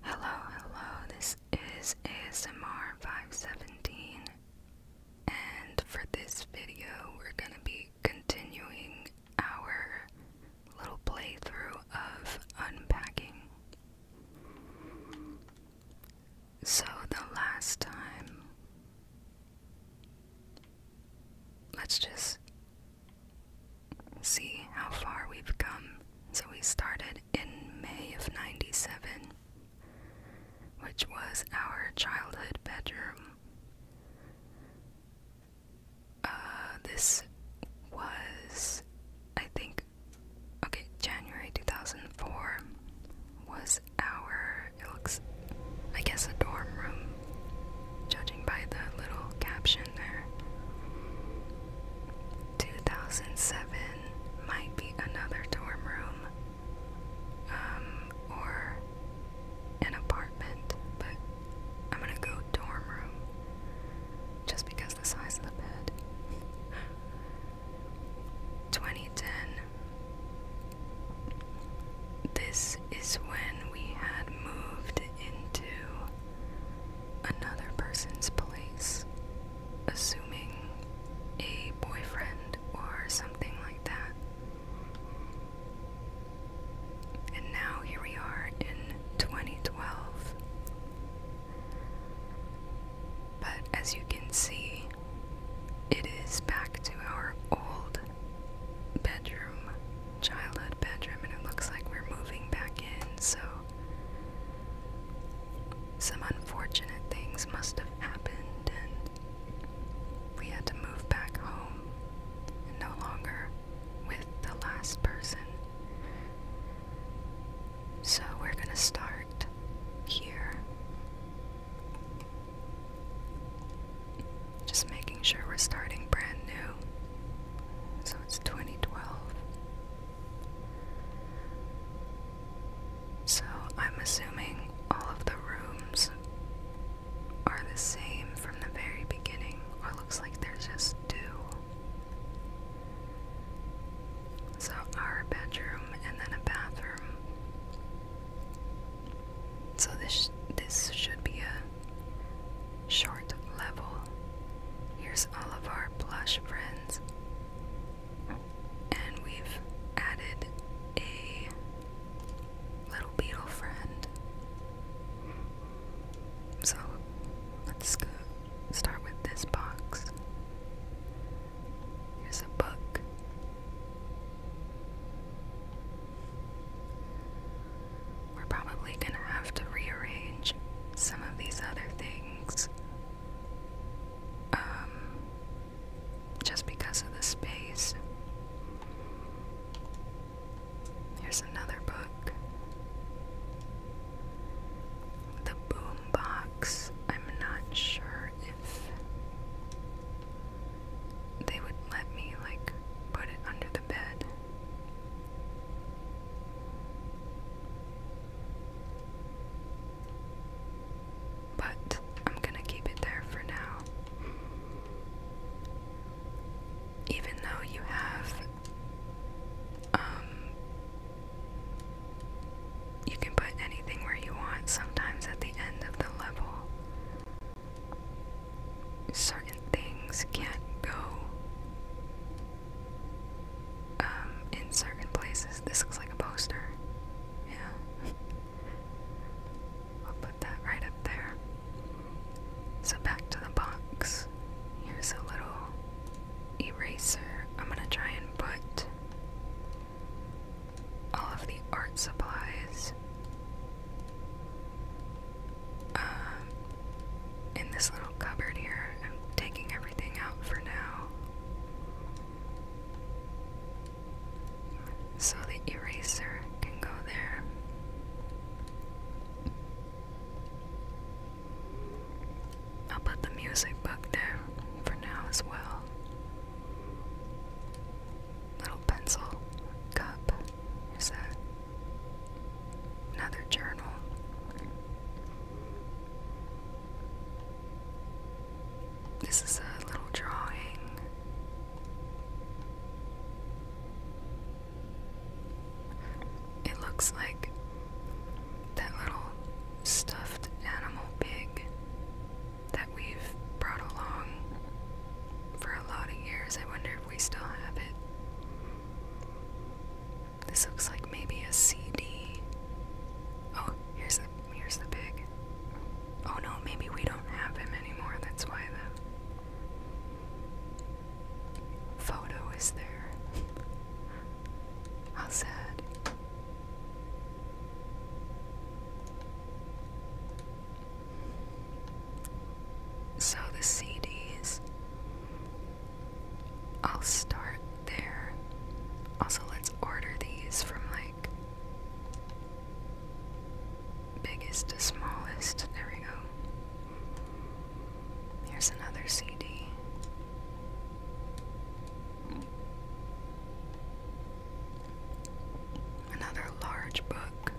Hello, hello, this is ASMR517, and for this video, we're gonna be continuing our little playthrough of unpacking. So, the last time let's just see how far we've come. So we started in May of 97, which was our childhood bedroom. Uh, this was, I think, okay, January 2004 was our, it looks, I guess, a dorm room judging by the little caption there. 2007 might be another dorm room um, or an apartment, but I'm gonna go dorm room just because the size of the bed. 2010. This is when we had moved into another person's place, assuming a boyfriend or something like that. And now here we are in 2012. But as you can see, it is back to our old bedroom childhood bedroom, and it looks like we're moving back in, so some unfortunate things must have happened, and we had to move back home, no longer with the last person. So we're gonna start here. Just making sure we're starting brand new. So it's 2012. So I'm assuming all of the rooms are the same from the very beginning, or looks like there's just two. So our bedroom and then a bathroom. So this this should be a Short level. Here's all of our plush friends. And we've added a little beetle friend. So let's go start with this box. Here's a book. We're probably gonna have to rearrange some of these other things. Um, just because of the space. Here's another book. The Boom I'm not sure if they would let me, like, put it under the bed. But I'm gonna keep it there for now. Even though you have, um, you can put anything where you want, sometimes at the end of the level, certain things can't go um, in certain places. This looks like a poster. Yeah. I'll put that right up there. So back to the box. Here's a little eraser. I'm gonna try and put all of the art supplies um, in this little cupboard here. I'm taking everything out for now. So the eraser can go there. I'll put the music book there for now as well. Little pencil cup. Here's Another journal. This is a little drawing. It looks like that little stuffed animal pig that we've brought along for a lot of years. I wonder if we still have it. This looks like maybe a CD. Oh, here's the here's the pig. Oh no, maybe we don't have him anymore. That's why the photo is there. How sad. So the CDs I'll start there. Also, let's order these from like biggest to smallest. There we go. Here's another CD. Another large book.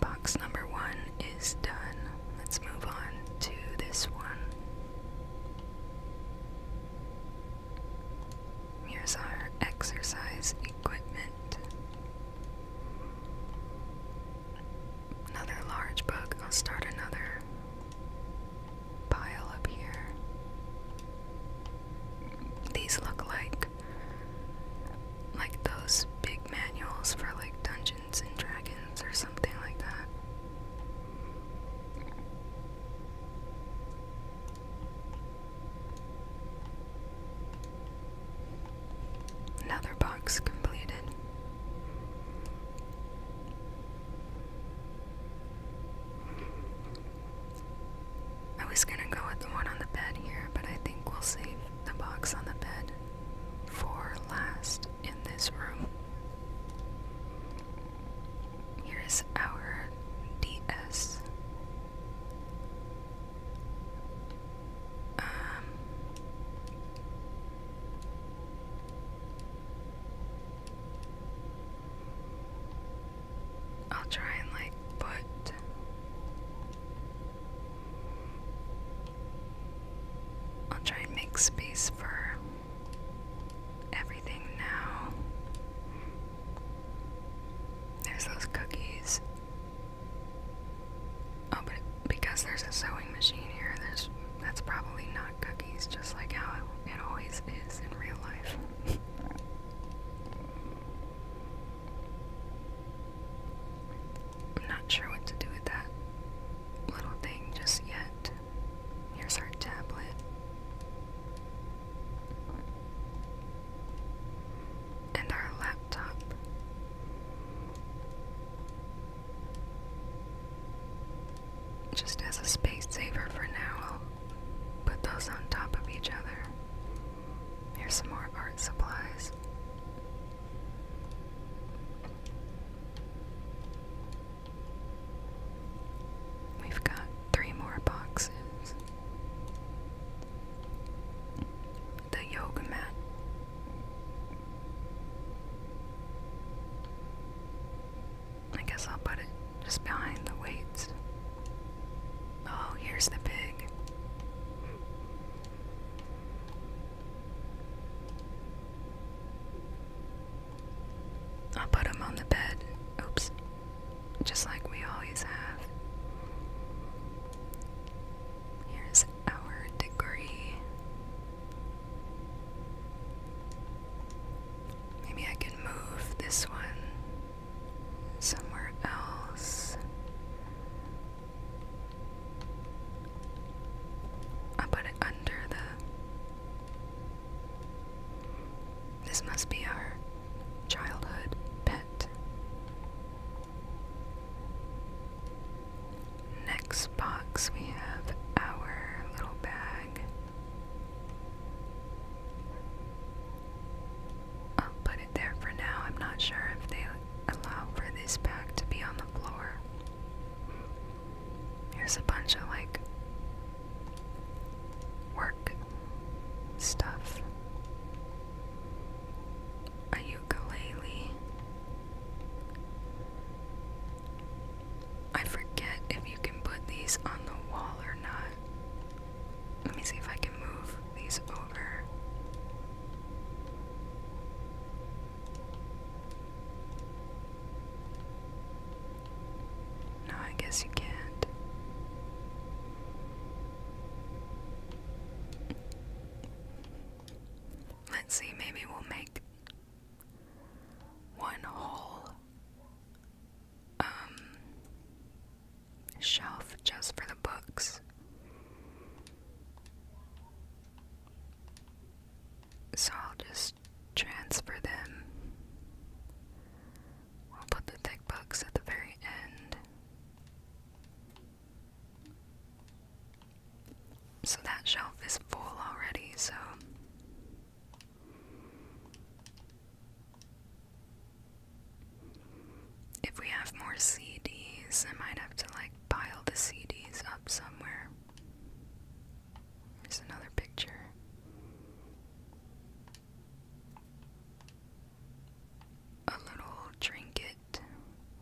Box number one is done. Let's move on to this one. Here's our exercise equipment. Another large book. I'll start another pile up here. These look like like those big manuals for like Dungeons and Dragons or something like that. Another box completed. I was gonna go with the one on the bed here, but I think we'll see the box on the bed, for last in this room. Here's our DS. Um, I'll try and like put I'll try and make space for everything now. There's those cookies. Oh, but because there's a sewing machine here, there's that's probably not cookies, just like how it always is in real life. I'm not sure what to do with that little thing just yet. Here's our tablet. And our laptop. Just as a space saver for now, I'll put those on top of each other. Here's some more art supplies. We've got three more boxes. The yoga mat. I guess I'll put it just behind the weights. Oh, here's the pig. I'll put him on the bed. Oops. Just like we always have. Here's our degree. Maybe I can move this one somewhere else. I put it under the. This must be our childhood pet. Next box, we have our little bag. I'll put there for now. I'm not sure if they allow for this pack to be on the floor. There's a bunch of like work stuff. A ukulele. I forget if you can put these on the wall or not. Let me see if I can move these over. No, I guess you can't. Let's see, maybe we'll make one whole um, shelf just for the books. So I'll just transfer them. We'll put the thick books at the very end. So that shelf is full already, so if we have more CDs, I might have to like pile the CDs up somewhere. Here's another picture. A little trinket.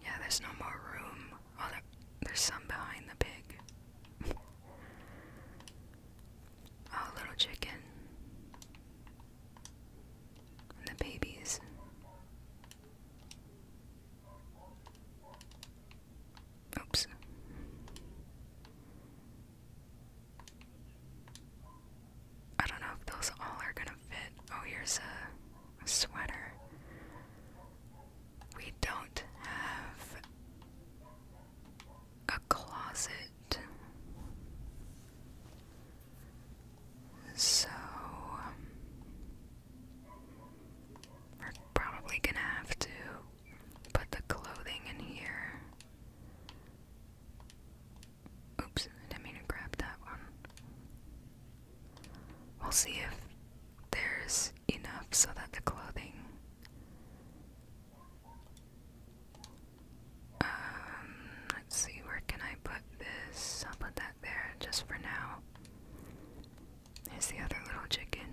Yeah, there's no more room. Oh, there's some behind the pig. oh, little chicken. the babies. Oops. I don't know if those all are gonna fit. Oh, here's a, sweater. We don't have a closet. So, um, we're probably gonna have to put the clothing in here. Oops, I didn't mean to grab that one. We'll see if there's enough so that the clothing. Um, let's see, where can I put this? I'll put that there just for now now. There's the other little chicken.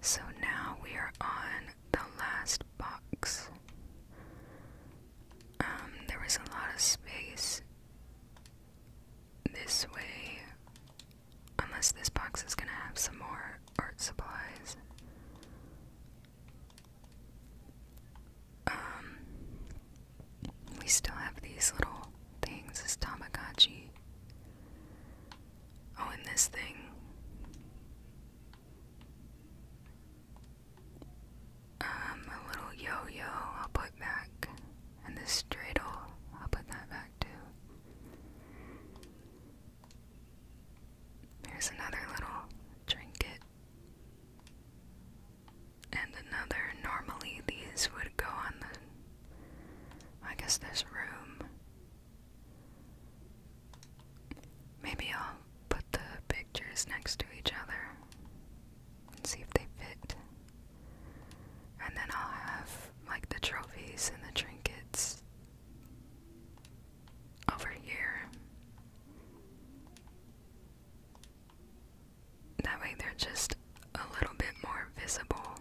So now we are on the last box. Um, there a lot of space this way, unless this box is gonna have some more art supplies. Um, we still have these little things as Tamagotchi. Oh, and this thing. Um, a little yo yo I'll put back. And this dreidel, I'll put that back too. Here's another little trinket and another. Normally, these would go on the. I guess there's room. Maybe I'll put the pictures next to each other and see if they fit. And then I'll have like the trophies and the trinkets over here. That way they're just a little bit more visible.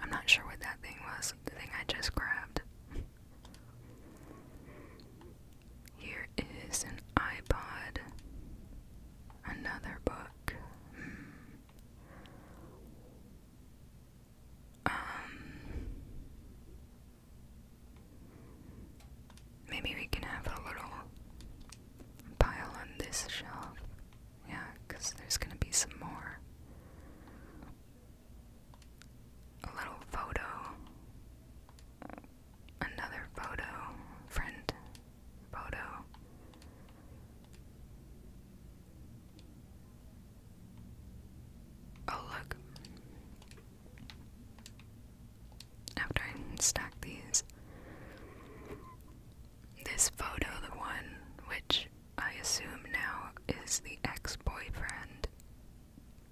I'm not sure what that thing was, the thing I just grabbed. Here is an iPod. Another book. Hmm. Um, Maybe we can have a little pile on this shelf. Yeah, because there's gonna be some more. A little photo. Another photo. Friend photo. Oh, look after I stack these. This photo, the one which I assume now is the ex boyfriend,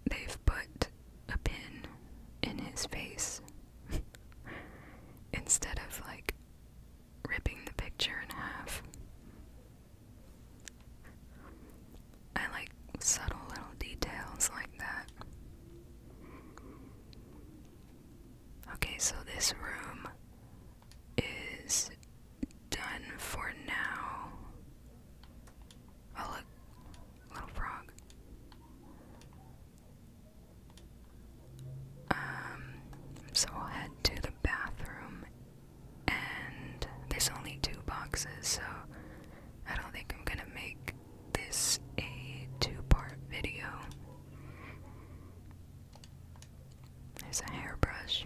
they've put a pin in his face instead of like ripping the picture in half. I like subtle little details like that. Okay, so this room is done for now. Oh, look, little frog. Um, so I'll head to the bathroom, and there's only two boxes, so I don't think I'm gonna make this a two-part video. There's a hairbrush.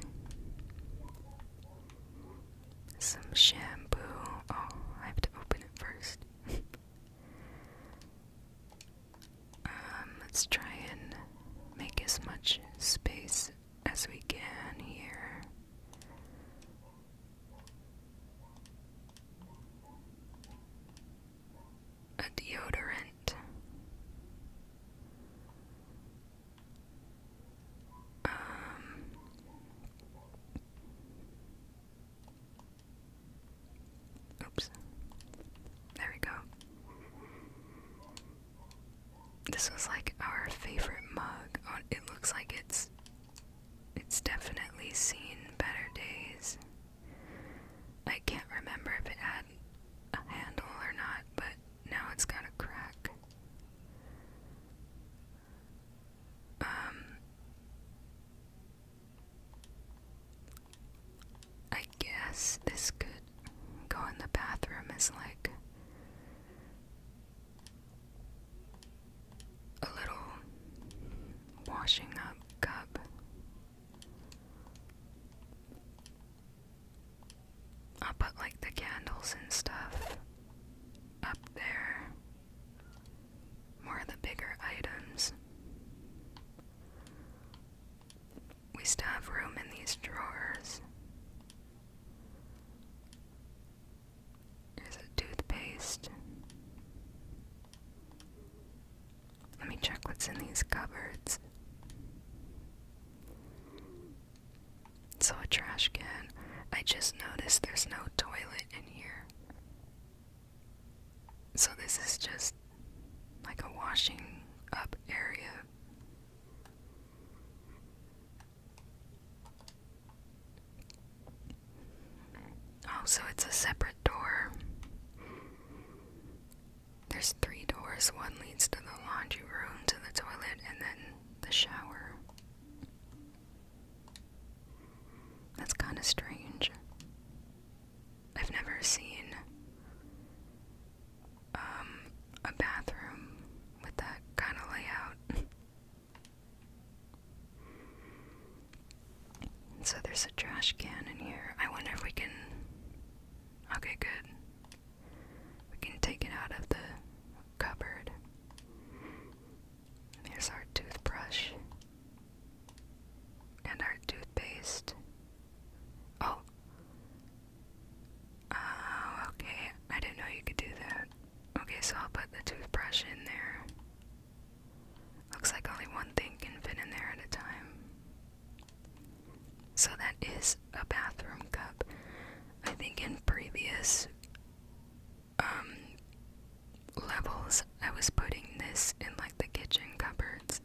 Some shampoo. Oh, I have to open it first. Um, let's try and make as much space as we can here a deodorant, um, oops, there we go. This was like our favorite mug. Oh, it looks like it's it's definitely seen better days. I can't remember if it had a handle or not, but now it's got a crack. Um, I guess this could go in the bathroom as like a little washing up cup. I'll put like the candles and stuff up there. More of the bigger items. We still have room in these drawers. Here's a toothpaste. Let me check what's in these cupboards. So, a trash can. I just noticed there's no toilet in here. So, this is just like a washing up area. Oh, so it's a separate door. There's three doors. One leads to the laundry room, to the toilet, and then the shower. That's kind of strange. I've never seen um, a bathroom with that kind of layout. So there's a trash can in here. I wonder if we can. Okay, good. We can take it out of the cupboard. Here's our toothbrush and our toothpaste. Oh. Oh, okay. I didn't know you could do that. Okay, so I'll put the toothbrush in there. Looks like only one thing can fit in there at a time. So that is a bathroom cup. I think in previous um, levels I was putting this in like the kitchen cupboards.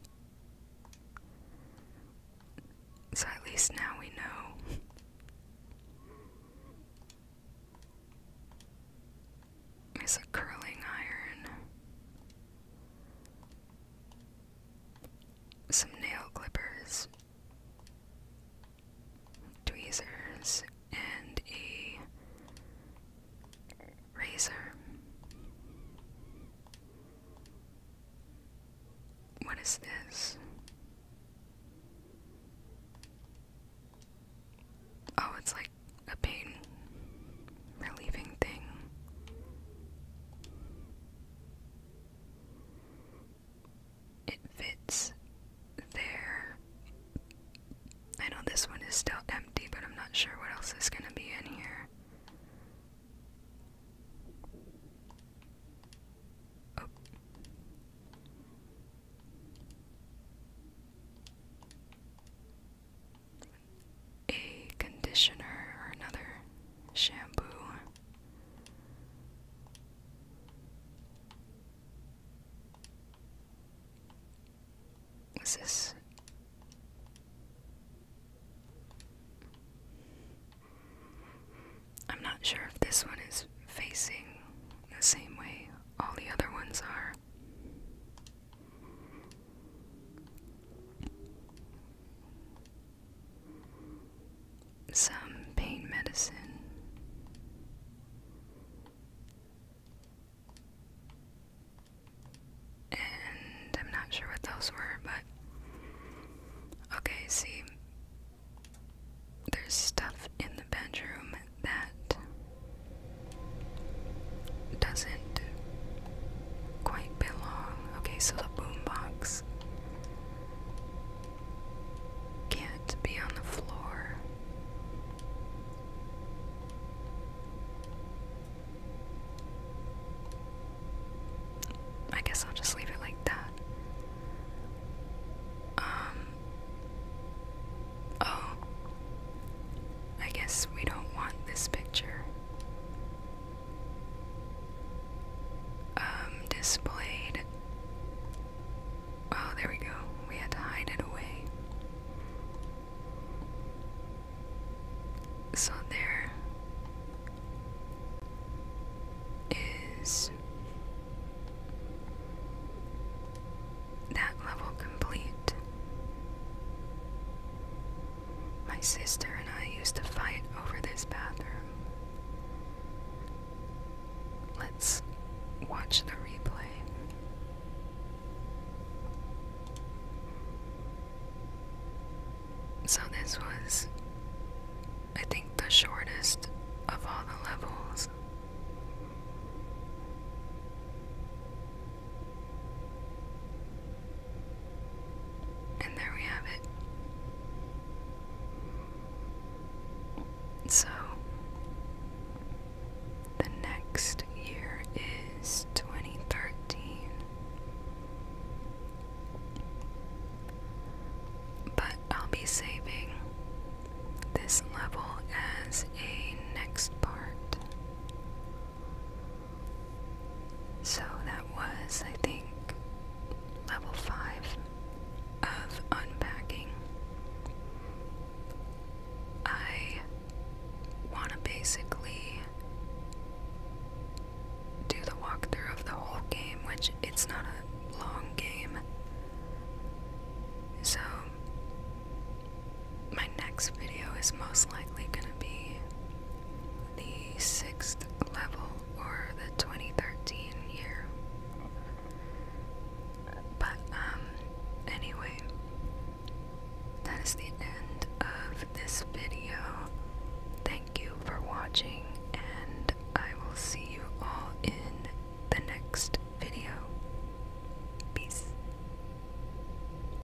So at least now we know is a curling iron, some nail clippers, tweezers, and a razor. What is this? Oh, it's like a pain relieving thing. It fits there. I know this one is still empty, but I'm not sure what else is going to be in here a conditioner or another shampoo. Is this? I'm not sure if this one is facing the same way all the other ones are. Some pain medicine. And I'm not sure what those were, but okay, see, there's stuff in the bedroom that doesn't quite belong. Okay, so the boombox can't be on the floor. I guess I'll just leave it like that. Um. Oh. I guess we don't want this picture. Um, displayed. Oh, there we go. We had to hide it away. So there is that level complete. My sister and I used to fight over this bathroom. Let's watch the replay. So, this was, I think, the shortest of all the levels. And there we have it. So, the next year is 2013. But I'll be saving this level as a next part. So that was, I think, level 5 of unpacking. I want to basically do the walkthrough of the whole game, which it's not a long game. So my next video is most likely going to be the sixth level or the 2013 year. But, um, anyway, that is the end of this video. Thank you for watching, and I will see you all in the next video. Peace.